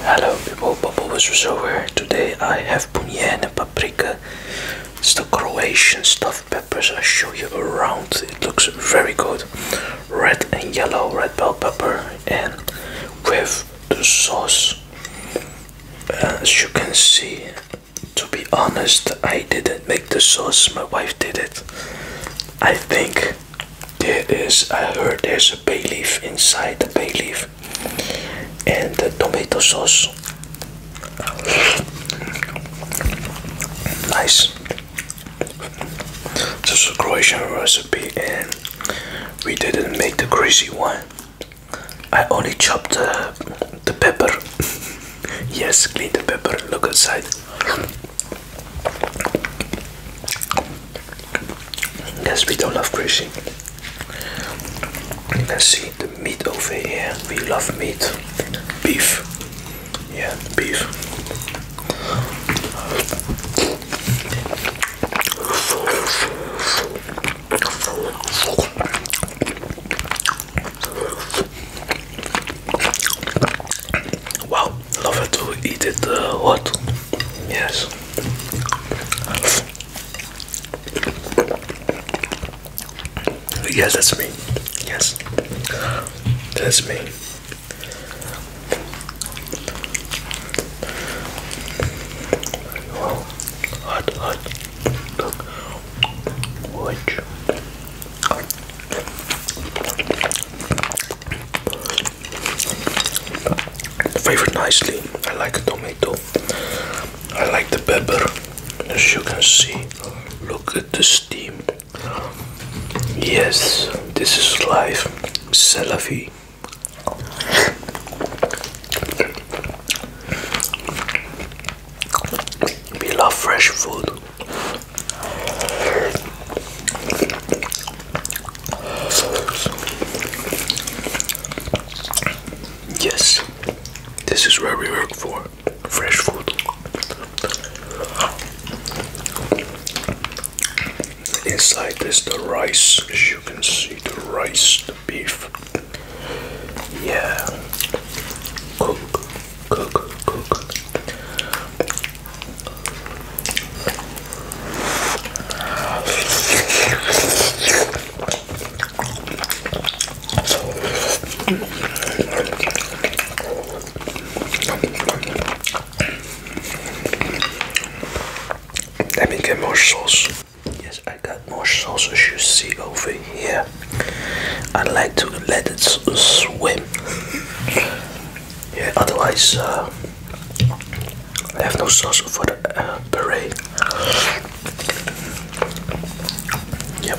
Hello people, Bubble Wizards over. Today I have punjen and paprika. It's the Croatian stuffed peppers. I show you around. It looks very good. Red and yellow red bell pepper and with the sauce. As you can see, to be honest, I I didn't make the sauce, my wife did it. I think there is, I heard there's a bay leaf inside the bay leaf and the tomato sauce. Nice. This is a Croatian recipe and we didn't make the greasy one. I only chopped the, the pepper. Yes, clean the pepper, look outside. Yes, we don't love greasy. You can see the meat over here. We love meat. Beef. Yeah, beef. Wow, love to eat it uh, hot. Yes. Yes, that's me. Yes, that's me. hot, hot. Look, watch. Flavor nicely. I like the tomato. I like the pepper. As you can see, look at the steam. Yes, this is life. C'est we love fresh food. Yes, this is where we work for fresh food. Inside is the rice, as you can see, the rice, the beef. Yeah. Cook, cook, cook. Let me get more sauce. Yes, I got more sausage you see over here. I would like to let it swim. Yeah, otherwise uh, I have no sauce for the uh, Yep.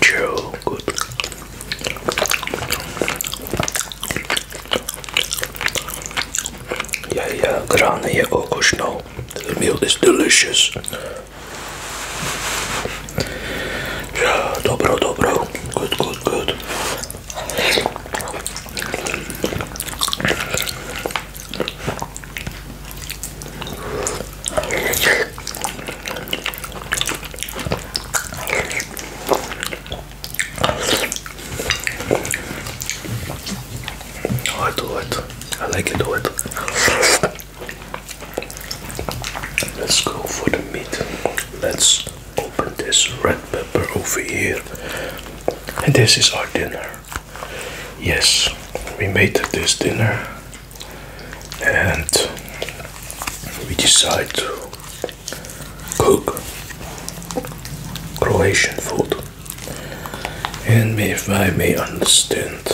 True, good. Yeah, yeah, grane je ook oh, oh, snow. The meal is delicious. Yeah, dobro, dobro. Good, good, good. I do it. I like it. Do it. Let's go for the meat. Let's open this red pepper over here. And this is our dinner. Yes, we made this dinner and we decide to cook Croatian food. And if I may understand,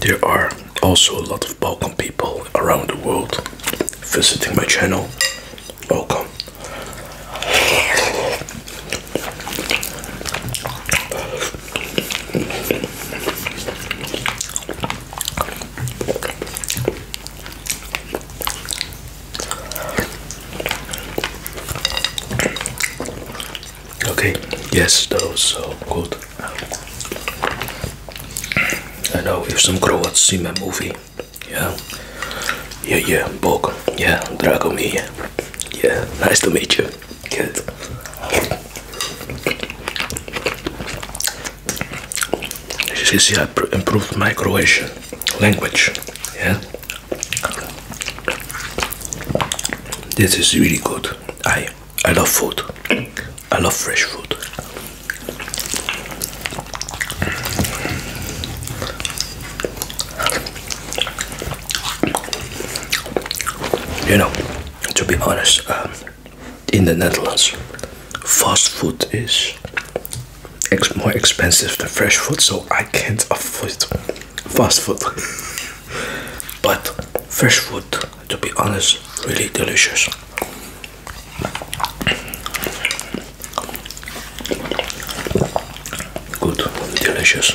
there are also a lot of Balkan people around the world visiting my channel, welcome. Okay, yes, those so uh, good. I know if some Croats see my movie, yeah, yeah, yeah, Bog, yeah, here, yeah, nice to meet you, good. You see, I improved my Croatian language, yeah. This is really good. I I love food. I love fresh food. You know, to be honest, um, in the Netherlands, fast food is more expensive than fresh food, so I can't afford fast food. but fresh food to be honest, really delicious. Good, delicious.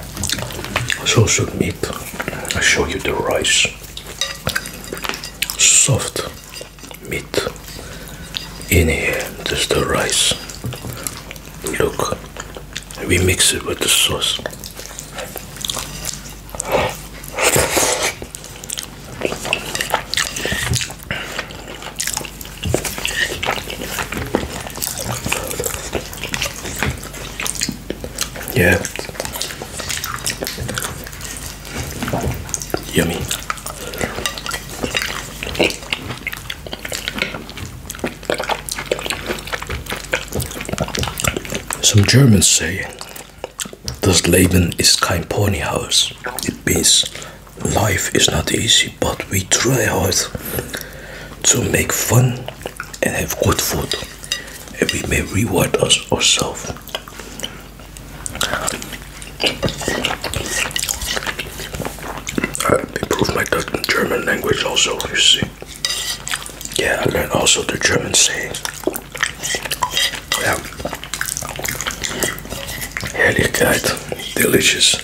sausage meat. I show you the rice. Soft meat in here. This the rice. Look, we mix it with the sauce. Yeah. Yummy. Some Germans say das Leben ist kein Ponyhaus. It means life is not easy, but we try hard to make fun and have good food, and we may reward us ourselves. I improved my German language also, you see. Yeah, I learned also the German saying. Yeah. Herrlichkeit, delicious.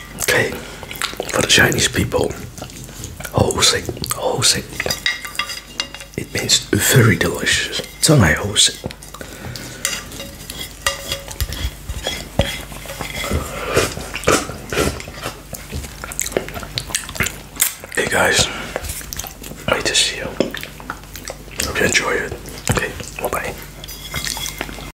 Okay, for the Chinese people, hosei, hosei, it means very delicious. Tonai hosei. Hey guys, great to see you. Hope you enjoy it. Okay, bye bye.